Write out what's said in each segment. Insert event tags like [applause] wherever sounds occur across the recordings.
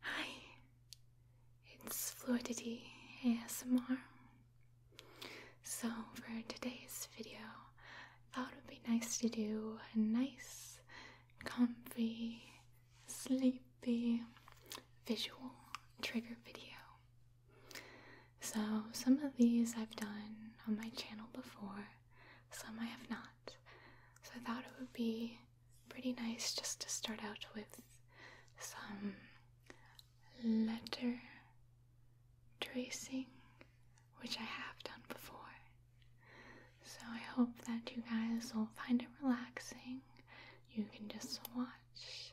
Hi, it's Fluidity ASMR. So, for today's video, I thought it would be nice to do a nice, comfy, sleepy, visual trigger video. So, some of these I've done on my channel before, some I have not. So, I thought it would be pretty nice just to start out with some letter tracing, which I have done before. So I hope that you guys will find it relaxing. You can just watch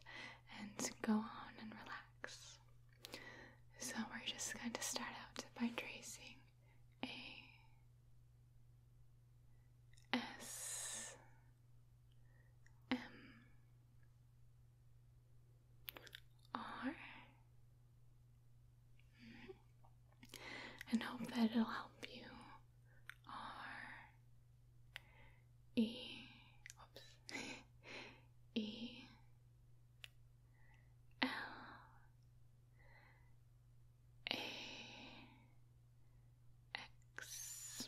and go on and relax. So we're just going to start out by tracing a S M R. And hope that it'll help you. R E oops E L A X.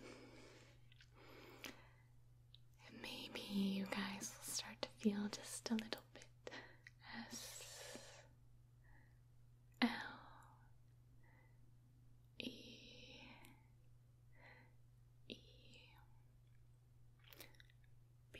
maybe you guys will start to feel just a little bit S L E E B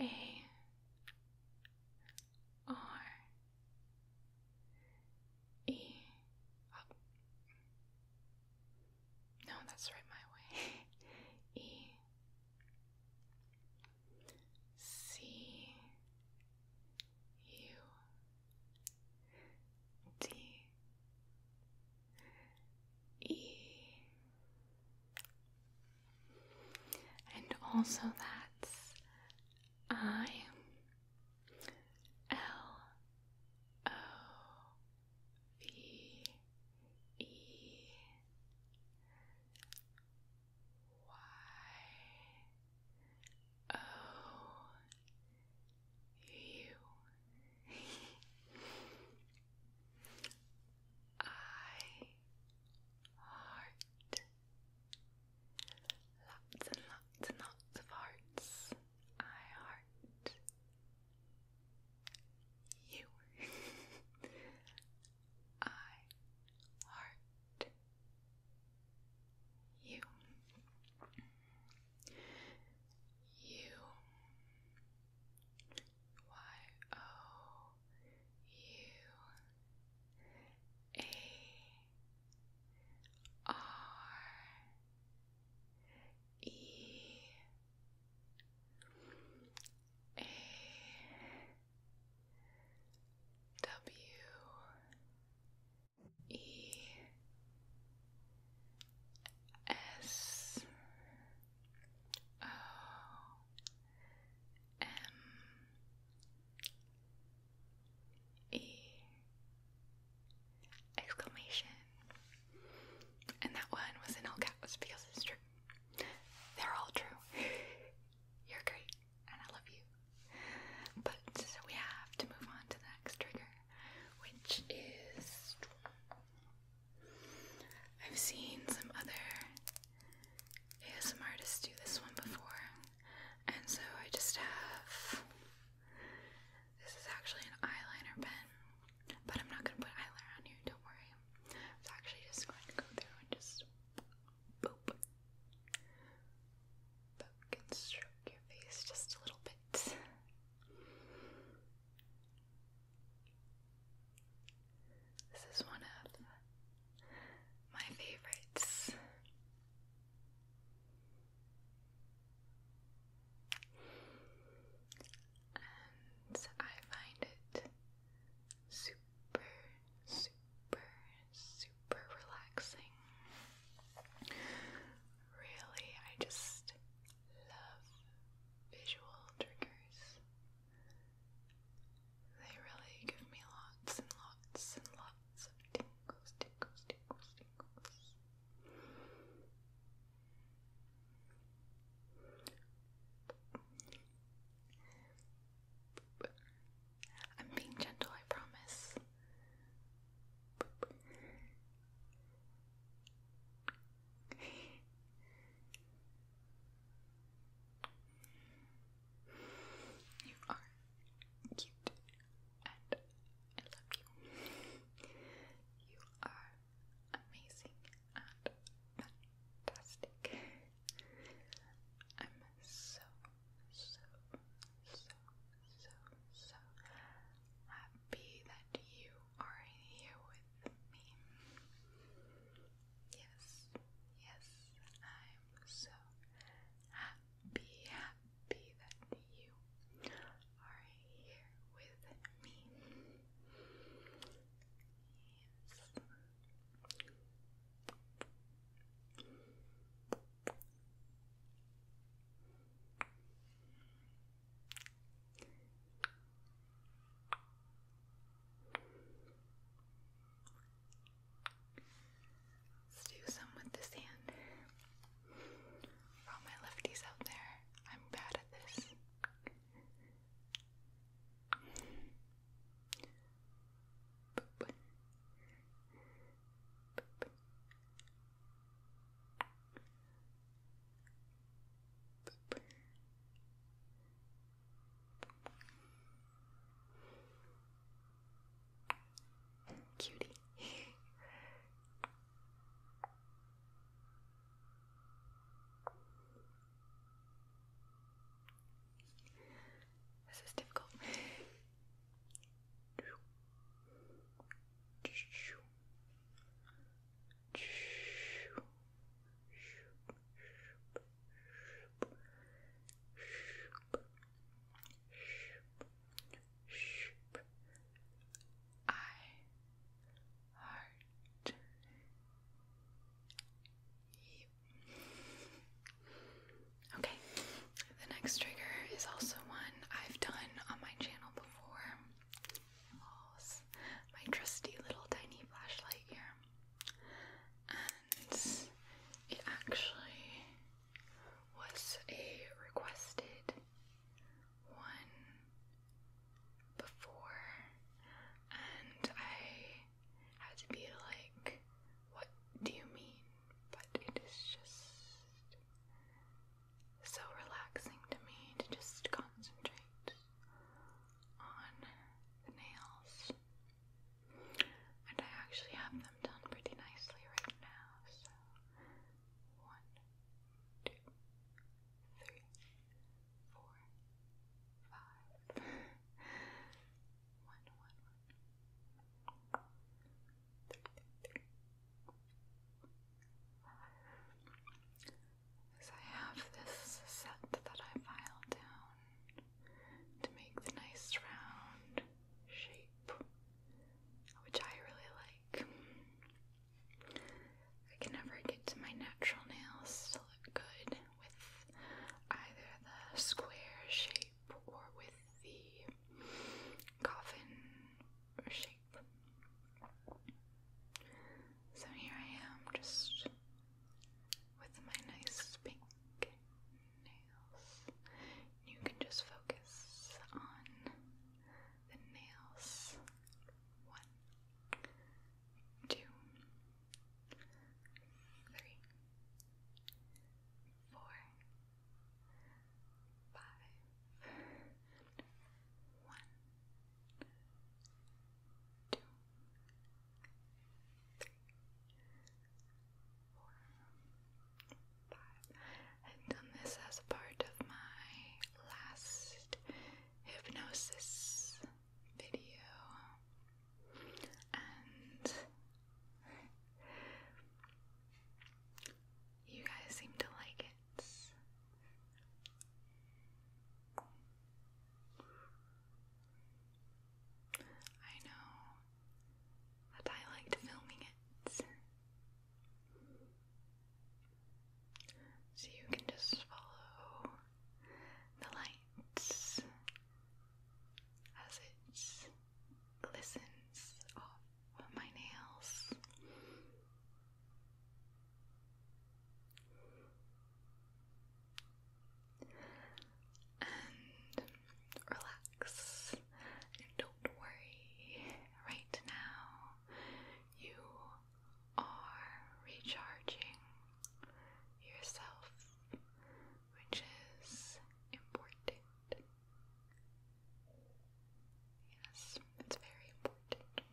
a R E. Oh. No, that's right my way. [laughs] E C U D E and also that's I L O V E Y O U [laughs] I heart lots and lots and lots of hearts. I heart you. I heart you. You. Y O U A R E A W E S O M um, E exclamation. And that one was in all caps because it's true. They're all true. [laughs] You're great and I love you. But we have to move on to the next trigger, which is I've seen some other ASM artists do this one before, and so I just have this is actually an eyeliner pen, but I'm not gonna put eyeliner on here, don't worry. It's actually just going to go through and just boop, poke and stroke your face just a little bit. This is one of my favorites. And I find it super, super, super relaxing. Really, I just love visual triggers. They really give me lots and lots and lots of tingles, tingles, tingles, tingles. I'm being gentle, I promise. You are cute and I love you. You are amazing and fantastic. I'm so, so, so, so, so happy that you are here with me. Yes, yes, I'm am so happy, happy that you are here with me. Yes. Let's do some with this hand. all my lefties out there, I'm bad at this. Cutie. this is difficult. I heart you. Okay, the next trigger is also one I've done on my channel before. My trusty little tiny flashlight here and it actually was a requested one before, and I had to be like, What do you mean? But it is just so relaxing to me to just concentrate on the nails and I actually have them done pretty nicely right now, so one, two, three, four, five. one, one, one. Three, three, five. I have this set that I filed down to make the nice round shape, which I really like. I can never get my natural nails to look good with either the square shape or with the coffin shape. So here I am just with my nice pink nails. You can just focus on the nails. One, two, three, four, five, one, two, three, five. done this as part of my last hypnosis video, and you guys seem to like it. I know but I liked filming it. So you can just follow the lights as it glistens off my nails and relax don't worry. Right now, you are recharging yourself, which is important. Yes, it's very important.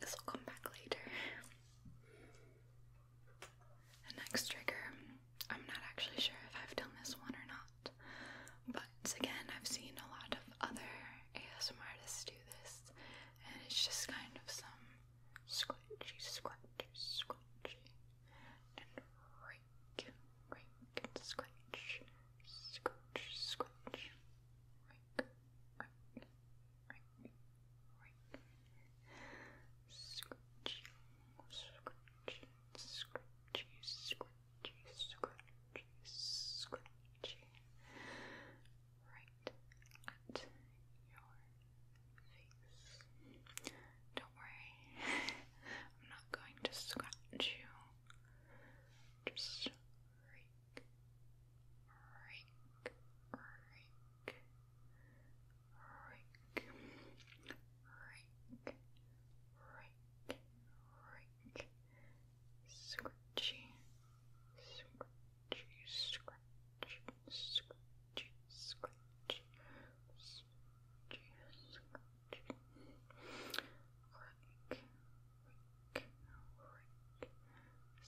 This will come back later. The next trigger, I'm not actually sure if I've done this one or not, but again, I've seen a lot of other ASM artists do this, and it's just kind of some scratchy, scratchy, scratchy, and rake, rake, scratch, scratch, scratch, rake, rake, rake, rake, Scratchy, scratchy, scratchy, scratchy, scratchy, scratchy. Right at your face. Don't worry, [laughs] I'm not going to scratch you. Just rake, rake, rake, rake, rake, rake, rake, scratchy, scratchy, scratchy, scratchy, scratchy, scratchy, scratchy, rake, rake, rake,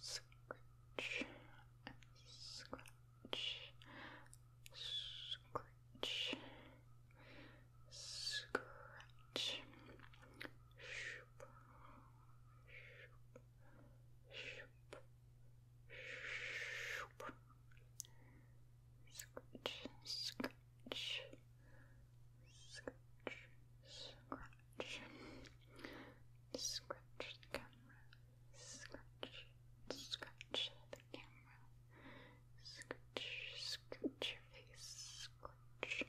scratch, and scratch, scratch, scratch, scratch, shoop, shoop, shoop, shoop. Scratch, scratch, scratch, scratch, scratch the camera, Scratch, scratch the camera. Scratch, scratch your face. Scratch,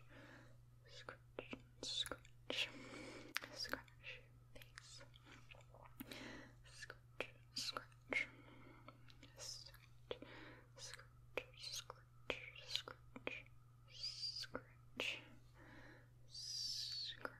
scratch, scratch. Scratch your face. Scratch, scratch. Scratch, scratch, scratch, scratch, scratch. Scratch,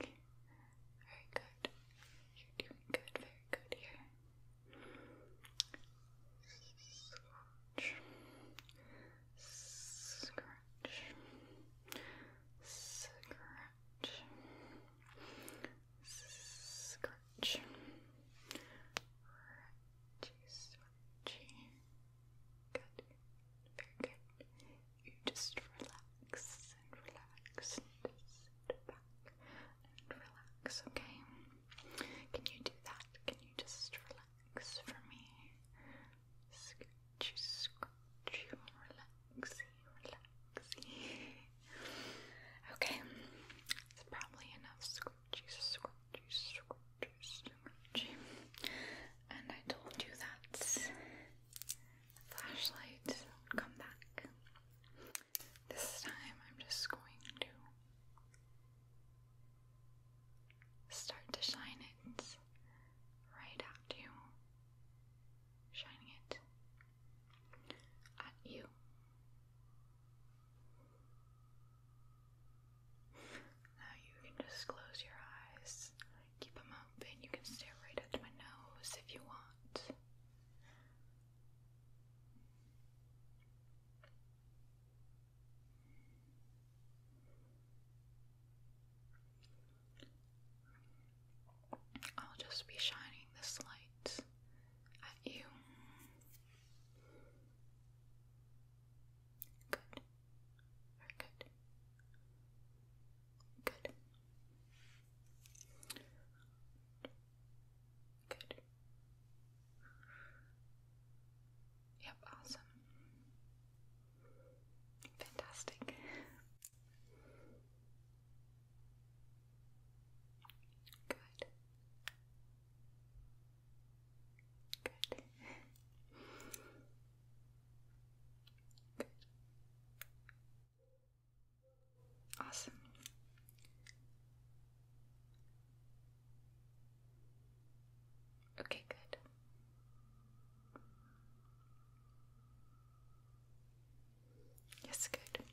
very good. You're doing good. Very good here. Scratch. Scratch. Scratch. Scratch. Good. Very good. You just relax nice and Sit back and relax, okay? Can you do that? Can you just relax for me? Scratch you, scratch you, Okay, it's probably enough scratchy, scratchy, scratchy, scratchy. And I told you that flashlight would come back. This time I'm just going to start to shine it right at you. Shining it at you. Now you can just close your eyes, keep them open, you can stare right at my nose if you want. I'll just be shining this light at you. Good. Very good. Good. Good. Yep, awesome. Fantastic. Good. Good. Good. Awesome. Okay, good. Yes, good. Good.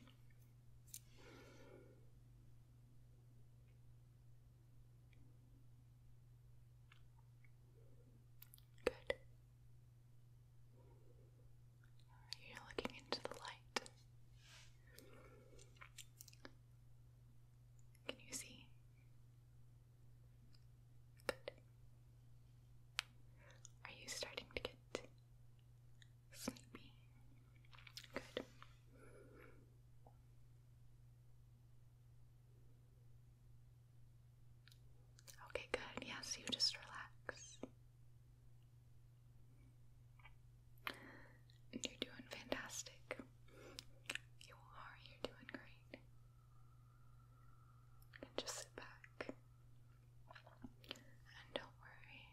You're looking into the light. Can you see? Good. Are you starting to get sleepy? Good. Okay, good. Yes, you just relax. You're doing fantastic. You are, you're doing great. just sit back. And don't worry.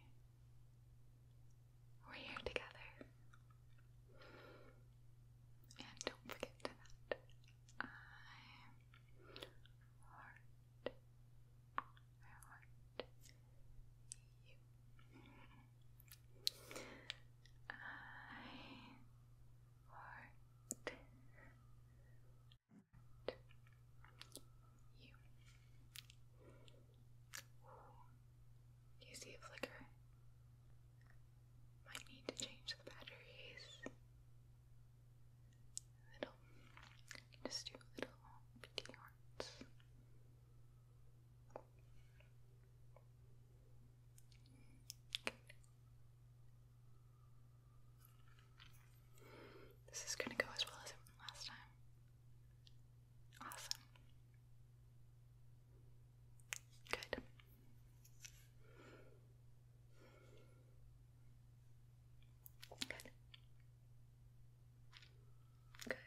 We're here together. And don't forget that i heart. i heart you. I heart you. you see a flicker? Might need to change the batteries little, just do little bitty hearts. This is gonna go as well as it last time. Awesome. Good. Good. Good.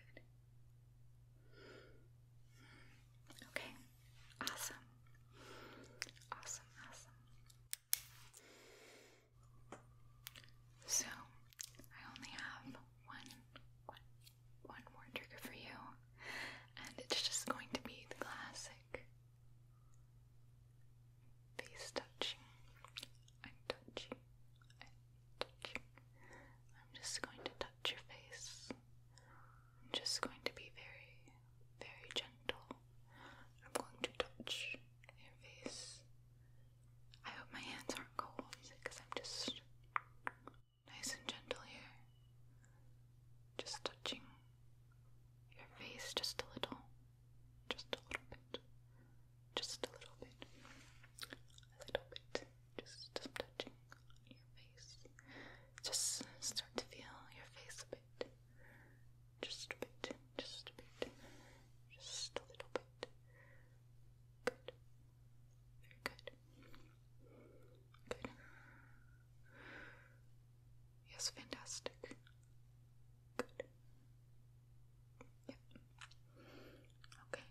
Okay. Awesome. Awesome, awesome. So, I only have one, one, one more trigger for you, and it's just going to be the classic face touching I'm touching. I'm touching. I'm just going to touch your face. I'm just going to be very, very gentle. I'm going to touch your face. I hope my hands aren't cold because I'm just nice and gentle here. Just touching your face just a little. Just a little bit just a little bit, a little bit, just, just touching your face. Just start to feel your face a bit, just a bit, just a bit, just a little bit. Good, very good, good. Yes, fantastic. Good. Yeah. Okay.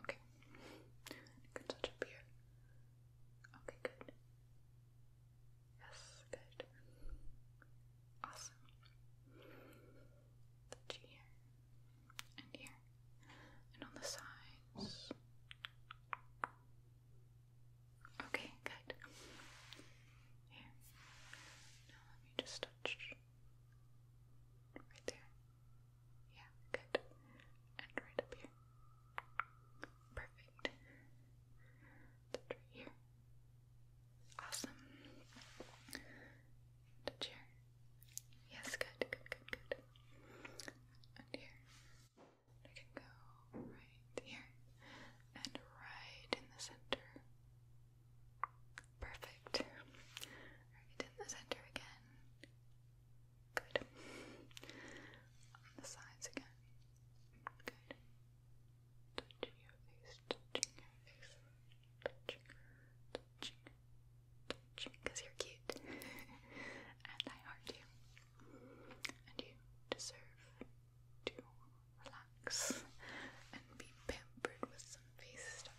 Okay. You touch up here. Okay, good. Yes, good. Awesome. Touch here and here. And on the sides. Okay, good. Here. Now let me just touch Right there. Yeah, good. And right up here. Perfect. right here. Awesome. Touch here. Yes, good, good, good, good. here. I can go right here and right in the center. Perfect. Right in the center again. Good. the sides again. Good. Touching your face, touching your face, touching, touching, touching, because you're cute. [laughs] and I heart you. And you deserve to relax and be pampered with some face stuff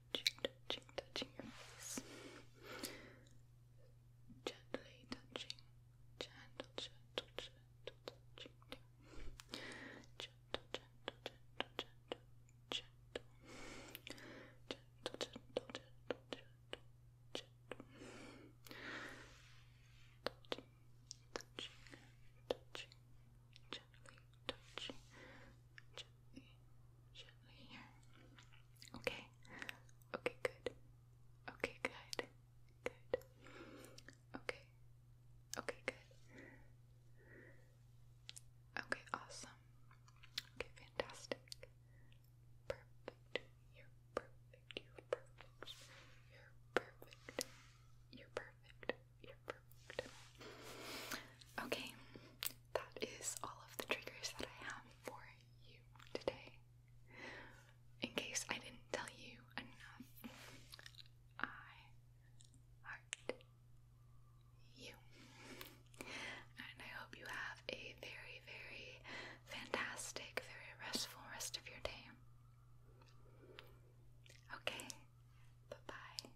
touching, touching, touching your face. Gently touching, gentle, gentle, gentle, touching. Gentle, gentle, gentle, gentle, gentle. Gentle, gentle, gentle, gentle, gentle. Touching, touching, touching, gently touching, gently, gently here. Okay, okay, good. Okay, good, good. Okay, okay, good. Okay, awesome. Okay, fantastic. Perfect. You're perfect. You're perfect. You're perfect. You're perfect. You're perfect. Okay, that is all of the triggers that I have for you today. In case I didn't tell you enough, I heart you. And I hope you have a very, very fantastic, very restful rest of your day. Okay, bye bye.